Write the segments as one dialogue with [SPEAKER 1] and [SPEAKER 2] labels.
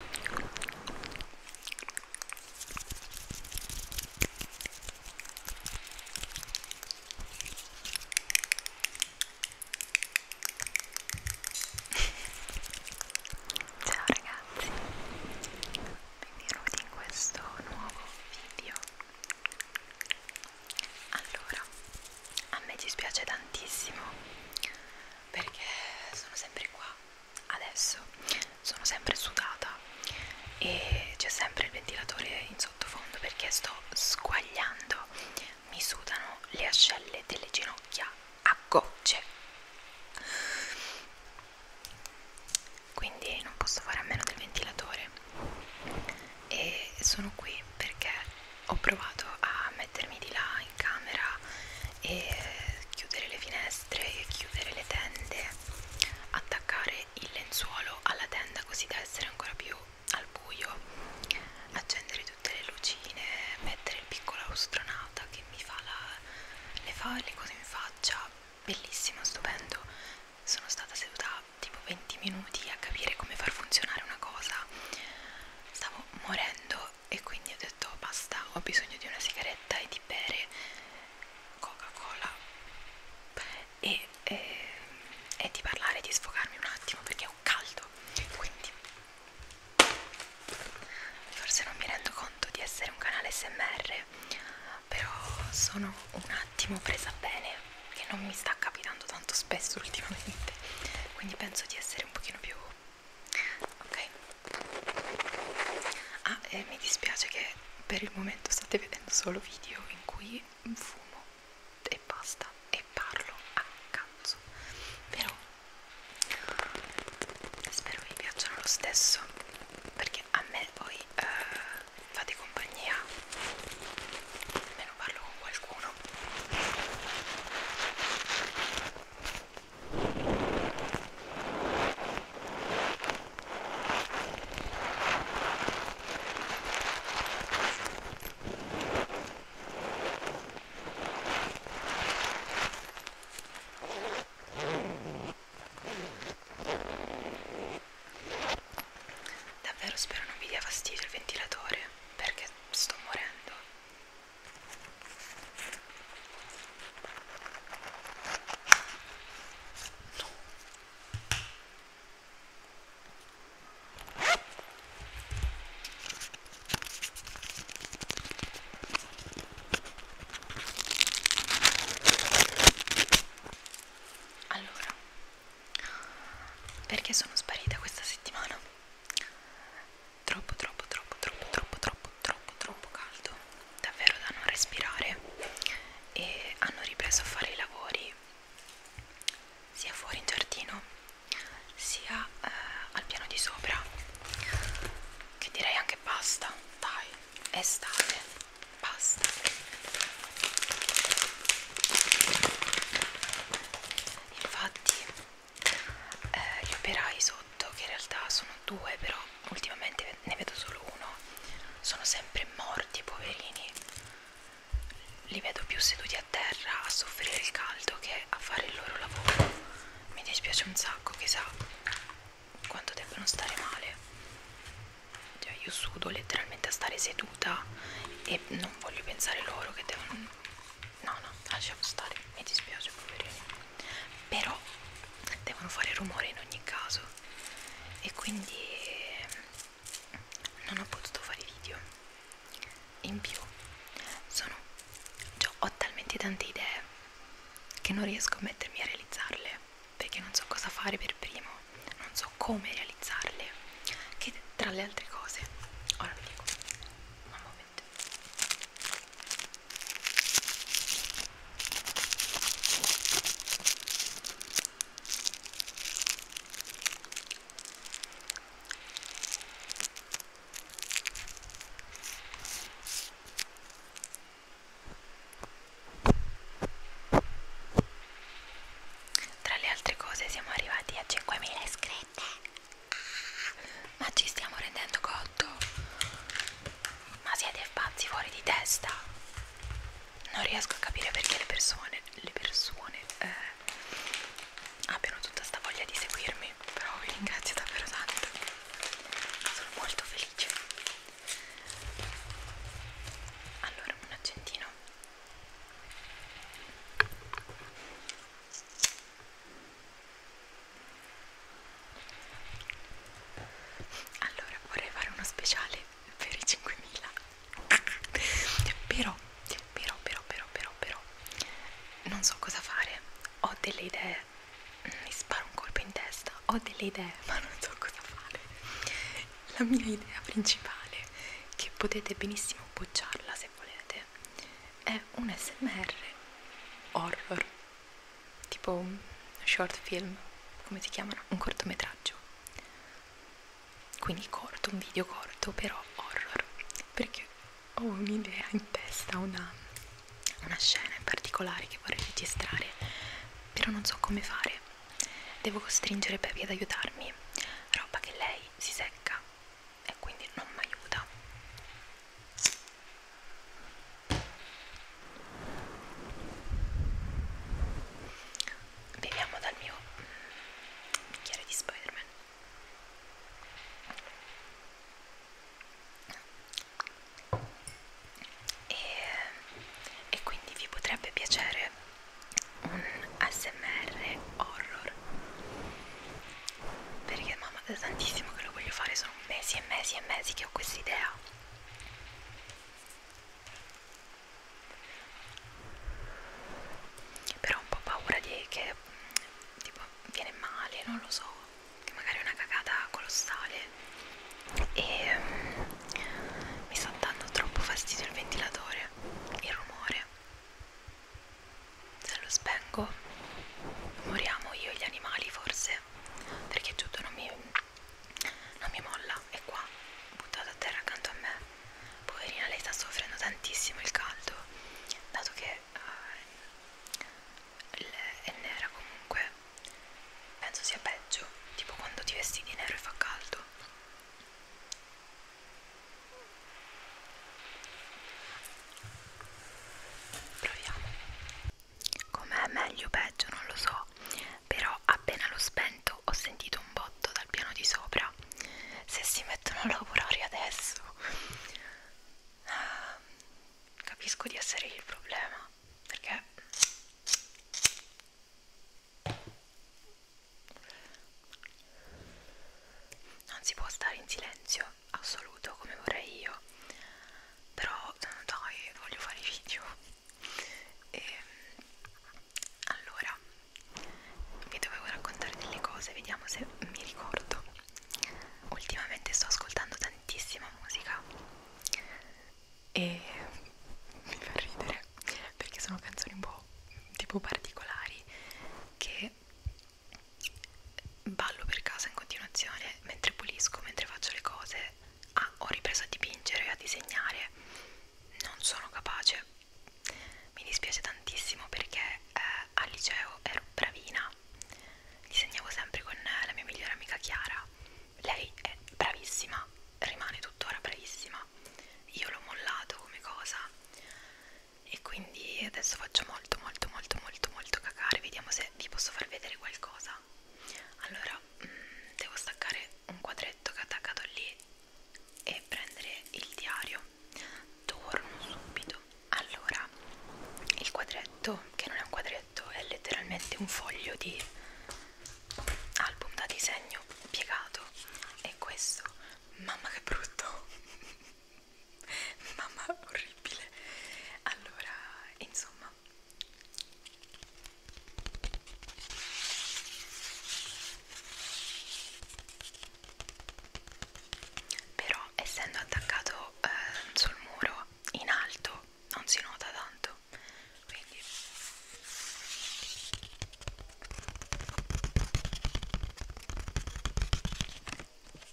[SPEAKER 1] Ciao ragazzi, benvenuti in questo nuovo video. Allora, a me dispiace tantissimo perché sono sempre qua adesso sono sempre sudata e c'è sempre il ventilatore in sottofondo perché sto squagliando mi sudano le ascelle delle ginocchia a gocce quindi non posso fare a meno del ventilatore e sono qui perché ho provato a mettermi di là in camera e chiudere le finestre e chiudere le tende attaccare il lenzuolo alla tenda così da essere ancora più al buio accendere tutte le lucine mettere il piccolo astronauta che mi fa, la, le, fa le cose in faccia bellissimo, stupendo sono stata seduta tipo 20 minuti a capire come far funzionare una cosa stavo morendo e quindi ho detto basta, ho bisogno di una sigaretta e di bere Coca-Cola e, e, ehm, e di parlare, di sfogarmi un attimo perché ho caldo quindi forse non mi rendo conto di essere un canale smr però sono un attimo presa bene che non mi sta capitando tanto spesso ultimamente quindi penso di essere un pochino più ok
[SPEAKER 2] ah e mi dispiace
[SPEAKER 1] che per il momento state vedendo solo video in cui fumo e basta e parlo a cazzo però spero vi piacciono lo stesso perché a me voi eh, fate compagnia almeno parlo con qualcuno Davvero spero non mi dia fastidio il ventilatore perché sto morendo. Allora, perché sono sparita questa settimana? troppo troppo troppo troppo troppo troppo troppo troppo caldo davvero da non respirare e hanno ripreso a fare i lavori sia fuori in giardino sia eh, al piano di sopra che direi anche basta dai estate basta infatti eh, gli operai sotto che in realtà sono due però ultimamente ne vedo solo uno sono sempre morti poverini li vedo più seduti a terra a soffrire il caldo che a fare il loro lavoro mi dispiace un sacco chissà quanto debbano stare male cioè io sudo letteralmente a stare seduta e non voglio pensare loro che devono no no lasciamo stare mi dispiace poverini però devono fare rumore in ogni caso e quindi ehm, non ho potuto fare video in più sono cioè, ho talmente tante idee che non riesco a mettermi a realizzarle perché non so cosa fare per primo non so come realizzarle che tra le altre cose ora vi dico mamma veramente tra le altre cose siamo arrivati a 5.000 iscritti ma ci stiamo rendendo conto? Ma siete pazzi fuori di testa? Non riesco a capire perché le persone, le persone eh, abbiano tutta sta voglia di seguirmi, però vi ringrazio davvero tanto. Sono molto felice. Allora, un accentino allora vorrei fare uno speciale per i 5000 però però però però però però non so cosa fare ho delle idee mi sparo un colpo in testa ho delle idee ma non so cosa fare la mia idea principale che potete benissimo appoggiarla se volete è un smr horror tipo un short film come si chiamano? un cortometraggio quindi corto, un video corto però horror perché ho un'idea in testa una, una scena in particolare che vorrei registrare però non so come fare devo costringere Peppy ad aiutarmi roba che lei si secca e quindi non mi aiuta beviamo dal mio bicchiere di Spider-Man e, e quindi vi potrebbe piacere un ASMR horror perché mamma da tantissimo che lo voglio fare sono mesi e mesi e mesi che ho questa idea però ho un po' paura di che tipo viene male non lo so che magari è una cagata colossale e um, mi sta dando troppo fastidio il ventilatore il rumore se lo spengo moriamo io e gli animali forse perché tutto non mi, non mi molla è qua buttato a terra accanto a me poverina lei sta soffrendo tantissimo il caldo dato che uh, è nera comunque penso sia peggio tipo quando ti vesti di nero e fa caldo proviamo com'è meglio o peggio non lo so però appena l'ho spento ho sentito un botto dal piano di sopra se si mettono a lavorare adesso ah, capisco di essere il problema perché non si può stare in silenzio assoluto come vorrei io però dai voglio fare i video e, ehm, allora vi dovevo raccontare delle cose vediamo se mi ricordo ultimamente sto ascoltando tantissima musica e mi fa ridere perché sono canzoni un po' tipo particolari che ballo per casa in continuazione mentre pulisco, mentre faccio le cose. Ah, ho ripreso a dipingere e a disegnare. Non sono capace. Mi dispiace tantissimo perché eh, al liceo ero bravina. Disegnavo sempre con eh, la mia migliore amica Chiara. Lei è bravissima, rimane tuttora bravissima. Io l'ho mollato come cosa e quindi adesso faccio molto molto molto molto molto cacare vediamo se vi posso far vedere qualcosa allora mh, mm, devo staccare un quadretto che è attaccato lì e prendere il diario torno subito allora il quadretto che non è un quadretto è letteralmente un foglio di album da disegno piegato e questo mamma che brutto mamma orribile allora insomma però essendo attaccato eh, sul muro in alto non si nota tanto quindi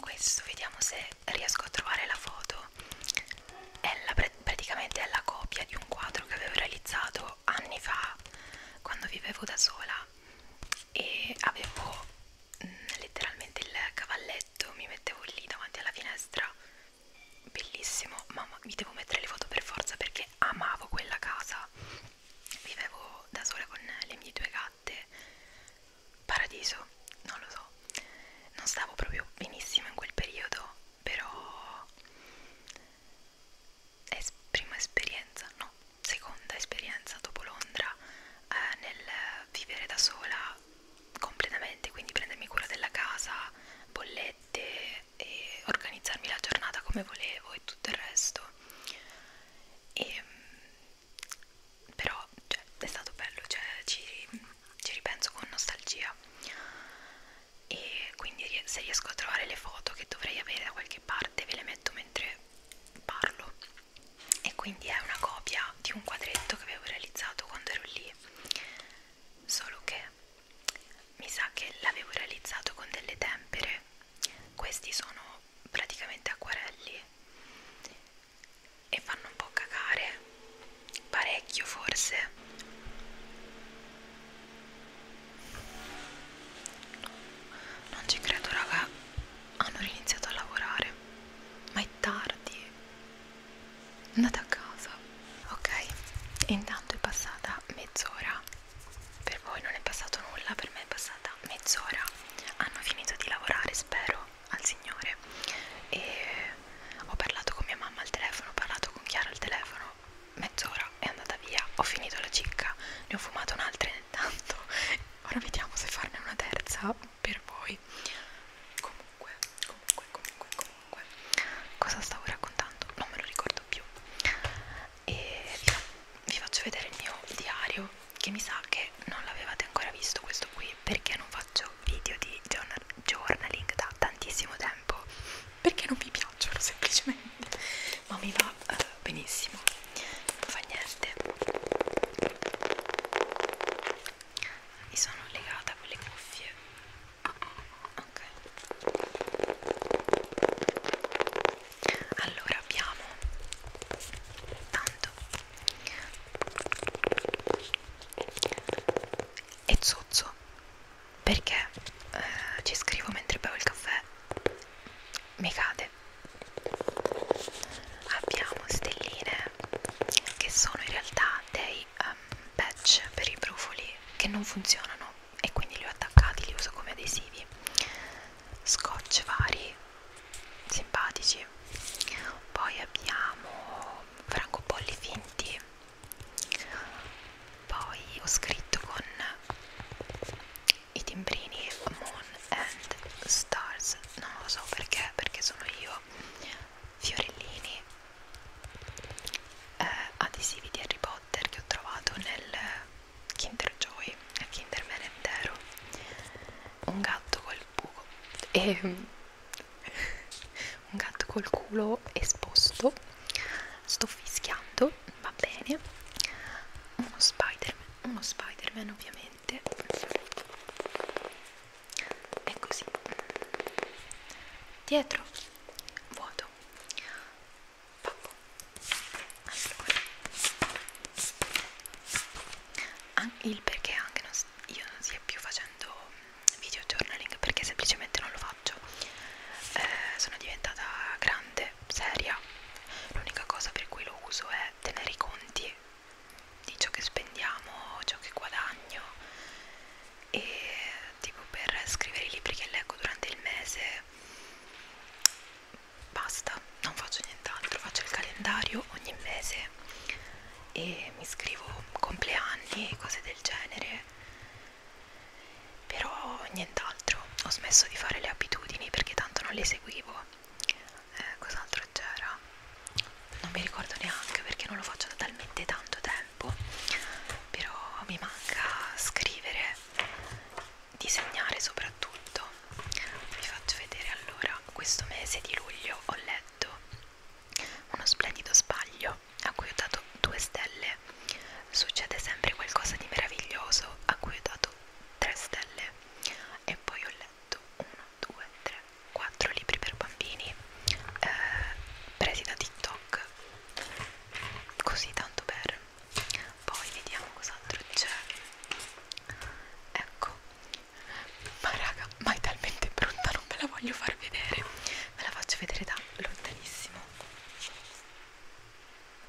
[SPEAKER 1] questo vediamo se riesco a trovare la foto è la, praticamente è la copia di un quadro che avevo realizzato anni fa quando vivevo da sola e avevo mh, mm, letteralmente il cavalletto mi mettevo lì davanti alla finestra bellissimo mamma vi devo mettere le foto per forza perché amavo quella casa vivevo da sola con le mie due gatte paradiso, non lo so, non stavo proprio benissimo in quel periodo, però è prima esperienza, no, seconda esperienza dopo Londra eh, nel vivere da sola completamente, quindi prendermi cura della casa, bollette e organizzarmi la giornata come volevo e tutto il resto. E ehm, però cioè, è stato bello, cioè, ci, ci ripenso con nostalgia e quindi se riesco a trovare le foto che dovrei avere da qualche parte ve le metto mentre parlo e quindi è una copia di un quadretto che avevo realizzato quando ero lì solo che mi sa che l'avevo realizzato con delle tempere questi sono praticamente acquerelli e fanno un po' cagare parecchio forse non ci credo raga hanno riniziato a lavorare ma è tardi andate a casa ok intanto è passata mezz'ora per voi non è passato nulla per me è passata durata mezz'ora hanno finito di lavorare spero al signore e ho parlato con mia mamma al telefono ho parlato con Chiara al telefono mezz'ora è andata via ho finito la cicca ne ho fumata un'altra intanto ora vediamo se farne una terza per voi comunque comunque comunque comunque cosa stavo raccontando non me lo ricordo più e vi faccio vedere il mio diario che mi sa che non l'avevate ancora visto questo qui perché non faccio video di journal journaling da tantissimo tempo perché non mi piacciono semplicemente ma mi va uh, benissimo non fa niente mi sono legata con le cuffie ok allora abbiamo tanto e zozzo perché eh, ci scrivo mentre bevo il caffè mi cade abbiamo stelline che sono in realtà dei um, patch per i brufoli che non funzionano e quindi li ho attaccati li uso come adesivi scotch vari simpatici poi abbiamo francobolli finti poi ho scritto con i timbrini Moon and Stars non lo so perché perché sono io fiorellini eh, adesivi di Harry Potter che ho trovato nel Kinder Joy e Kinder Merendero un gatto col buco e ehm, un gatto col culo esposto sto fischiando va bene uno Spiderman uno Spiderman ovviamente è così dietro vuoto Pappo allora, il perché anche non, io non stia più facendo mm, video journaling perché semplicemente non lo faccio eh, sono diventata grande, seria l'unica cosa per cui lo uso è tenere i conti di ciò che spendiamo, ciò che guadagno e tipo per scrivere i libri che leggo durante il mese basta, non faccio nient'altro, faccio il calendario ogni mese e mi scrivo compleanni, cose del genere, però nient'altro, ho smesso di fare le abitudini perché tanto non le seguivo, eh, cos'altro c'era? Non mi ricordo neanche perché non lo faccio da talmente tanto tempo, però mi manca scrivere disegnare soprattutto vi faccio vedere allora questo mese di luglio ho letto uno splendido sbaglio a cui ho dato due stelle succede sempre qualcosa di meraviglioso a cui ho dato tre stelle e poi ho letto 1 2 3 4 libri per bambini eh, presi da tiktok così tanto per poi vediamo cos'altro c'è ecco ma raga ma è talmente brutta non ve la voglio far vedere ve la faccio vedere da lontanissimo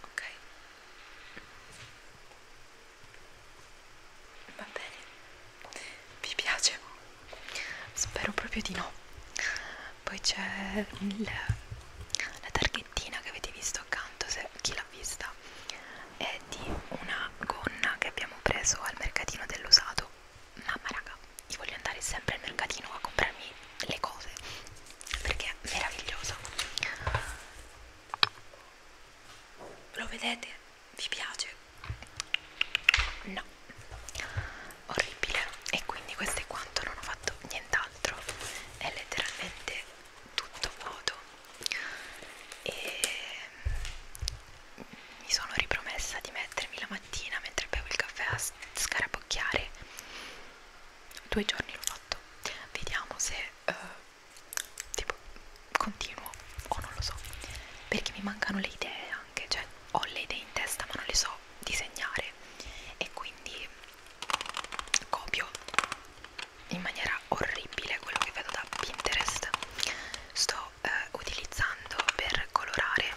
[SPEAKER 1] ok va bene vi piace spero proprio di no poi c'è la targhettina che avete visto accanto se chi l'ha vista è di una gonna che abbiamo preso al mercatino dell'usato mamma raga io voglio andare sempre al mercatino a comprarmi le cose perché è meravigliosa lo vedete? vi piace? no orribile e quindi questo è quanto non ho fatto nient'altro è letteralmente tutto vuoto e mi sono ripromessa di mettermi la mattina mentre bevo il caffè a scarabocchiare due giorni l'ho fatto vediamo se uh, tipo continuo o non lo so perché mi mancano le idee anche cioè ho le idee in testa ma non le so disegnare e quindi copio in maniera orribile quello che vedo da Pinterest sto eh, utilizzando per colorare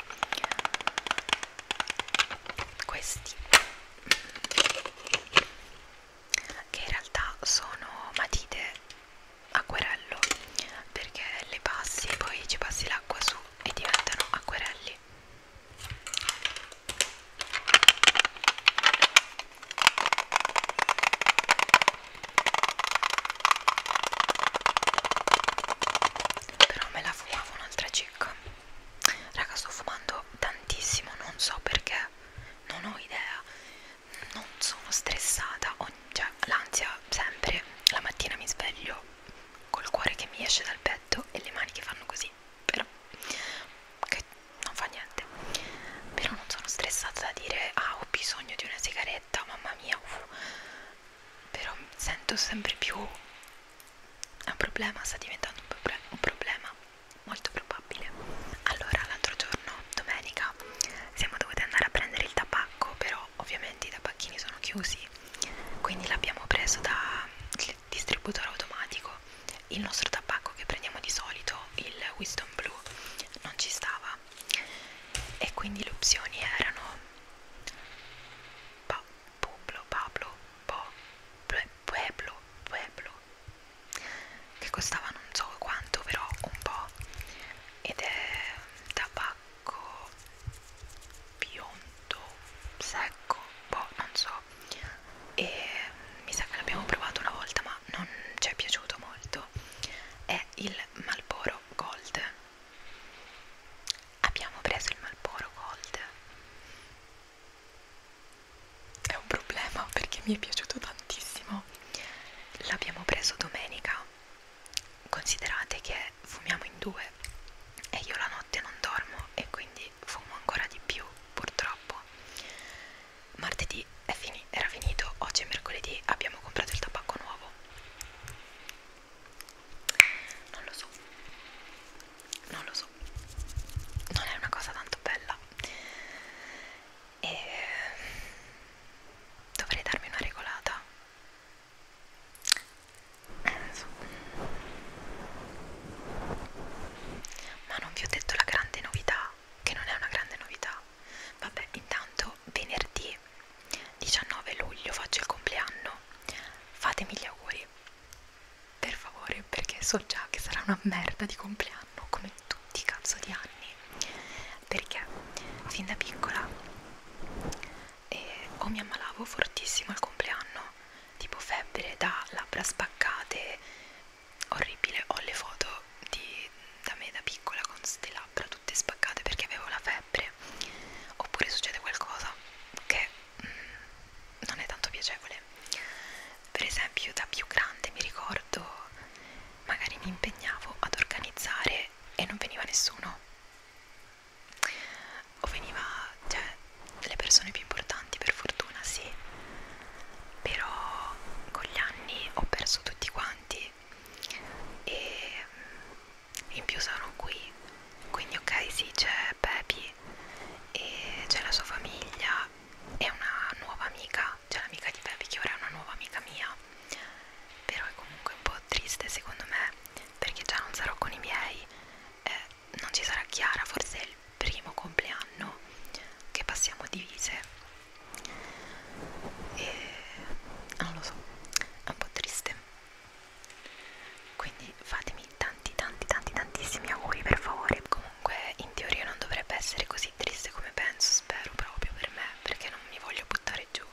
[SPEAKER 1] questi che in realtà sono matite acquerello perché le passi poi ci passi l'acqua su e diventano acquerelli però me la fumavo un'altra cicca. Raga, sto fumando tantissimo, non so perché, non ho idea. Non sono stressata, ho, cioè l'ansia sempre. La mattina mi sveglio col cuore che mi esce dal petto e le mani che fanno così però che non fa niente però non sono stressata da dire ah ho bisogno di una sigaretta mamma mia uff. però sento sempre più un problema sta diventando un, proble un problema molto probabile allora l'altro giorno domenica siamo dovuti andare a prendere il tabacco però ovviamente i tabacchini sono chiusi quindi l'abbiamo preso da distributore automatico il nostro tabacco che prendiamo di solito il Wisdom Blue non ci stava e quindi le opzioni erano pa, Publo, Pablo, po, ple, Pueblo, Pueblo che costava non so quanto però un po' ed è tabacco biondo secco, boh non so e mi sa che l'abbiamo provato una volta ma non ci è piaciuto molto è il Malboro Gold abbiamo preso il Malboro Gold è un problema perché mi è piaciuto tantissimo l'abbiamo preso domenica considerate che fumiamo in due e io la notte non dormo e quindi quindi fumo ancora di più purtroppo martedì è fini era finito oggi è mercoledì abbiamo comprato il tabacco nuovo non lo so non lo so non è una cosa tanto bella e dovrei darmi una regolata eh, so ma non vi ho detto la grande novità, che non è una grande novità. Vabbè, intanto venerdì 19 luglio faccio il compleanno, fatemi gli auguri, per favore, perché so già che sarà una merda di compleanno, come tutti i cazzo di anni, perché fin da piccola eh, o mi ammalavo fortissimo al compleanno, tipo febbre da labbra spaccate, orribile ho le foto di, da me da piccola con ste labbra tutte spaccate perché avevo la febbre oppure succede qualcosa che mm, non è tanto piacevole per esempio da più grande mi ricordo magari mi impegnavo ad organizzare e non veniva nessuno o veniva, cioè le persone più importanti per fortuna sì, però con gli anni ho perso tutti quanti e mm, in più sono qui, quindi ok sì c'è Pepi e c'è la sua famiglia e una nuova amica, c'è l'amica di Pepi che ora è una nuova amica mia, però è comunque un po' triste secondo me perché già non sarò con i miei. Eh, non ci sarà Chiara, forse è il primo compleanno che passiamo divise e non lo so, è un po' triste quindi fatemi tanti tanti tanti tantissimi auguri per favore comunque in teoria non dovrebbe essere così triste come penso spero proprio per me perché non mi voglio buttare giù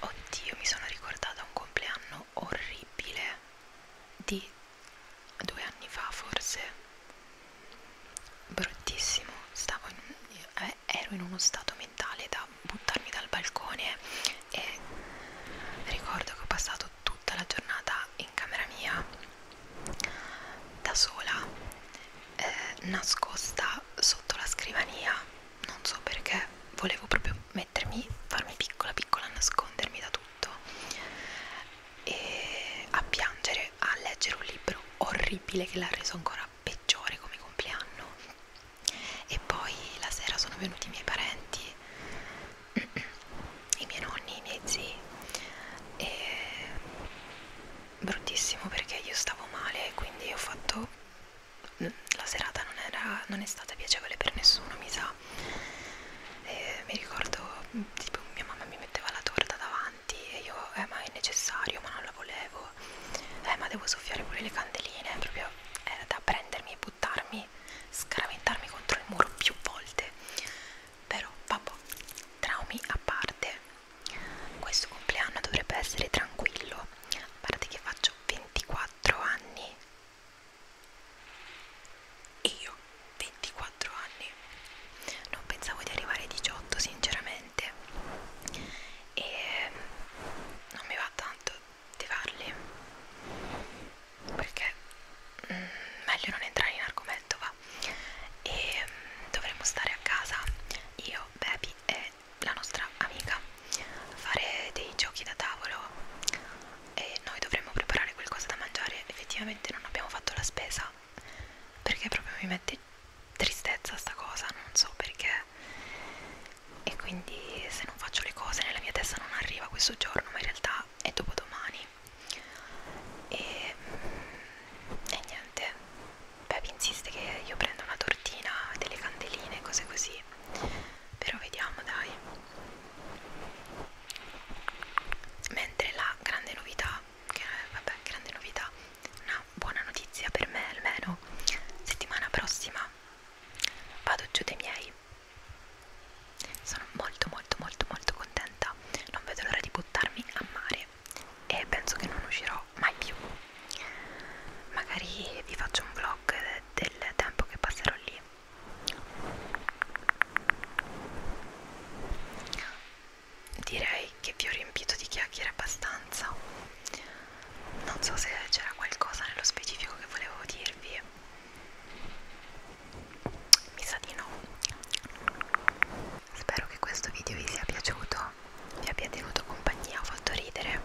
[SPEAKER 1] oddio mi sono ricordata un compleanno video orribile di due anni fa forse bruttissimo stavo in un, eh, ero in uno stato mentale da buttarmi dal balcone e ricordo che ho passato tutta la giornata in camera mia da sola eh, nascosta sotto la scrivania non so perché volevo proprio mettermi farmi piccola piccola nascondermi da tutto letto e a piangere a leggere un libro orribile che l'ha reso ancora peggiore come compleanno e poi la sera sono venuti i miei parenti i miei nonni, i miei zii e bruttissimo perché io stavo male quindi ho fatto la serata non, era, non è stata piacevole per nessuno mi sa torta e mi ricordo tipo mia mamma mi metteva la torta davanti e io eh ma è necessario ma non la volevo eh ma devo soffiare pure le candeline proprio era da prendermi e buttarmi scaraventarmi contro il muro più volte però vabbè traumi a parte questo compleanno dovrebbe essere tranquillo a parte che faccio 24 anni e io, 24 anni, non pensavo di arrivare ai 18 sinceramente e mm, non mi va tanto di farli perché mm, meglio non entrare in argomento va e mm, dovremmo stare a casa io, Baby e la nostra amica fare dei giochi da tavolo e noi dovremmo preparare qualcosa da mangiare effettivamente non abbiamo fatto la spesa perché proprio mi mette tristezza sta cosa non so perché e quindi se non faccio le cose nella mia testa non arriva questo giorno ma in realtà è dopodomani e, mm, e niente Pepe insiste che io prenda una tortina delle candeline cose così però vediamo dai mentre la grande novità che vabbè grande novità una buona notizia per me almeno settimana prossima vado giù dei miei sono molto molto molto molto contenta non vedo l'ora di buttarmi a mare e penso che non uscirò mai più magari vi faccio un vlog del tempo che passerò lì Direi che vi ho riempito di chiacchiere abbastanza. Non so se c'era qualcosa nello specifico che volevo dirvi. Mi sa di no. Spero che questo video vi sia piaciuto, vi abbia tenuto compagnia, ho fatto ridere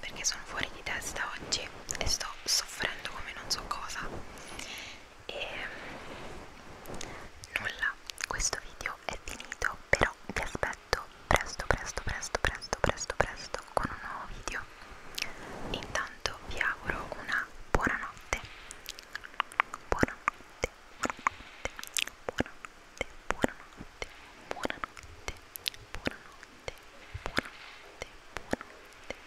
[SPEAKER 1] perché sono fuori di testa oggi e sto soffrendo come non so cosa e nulla questo video è finito però vi aspetto presto presto presto presto presto presto con un nuovo video intanto vi auguro una buonanotte buonanotte buonanotte buonanotte buonanotte buonanotte buonanotte buonanotte buonanotte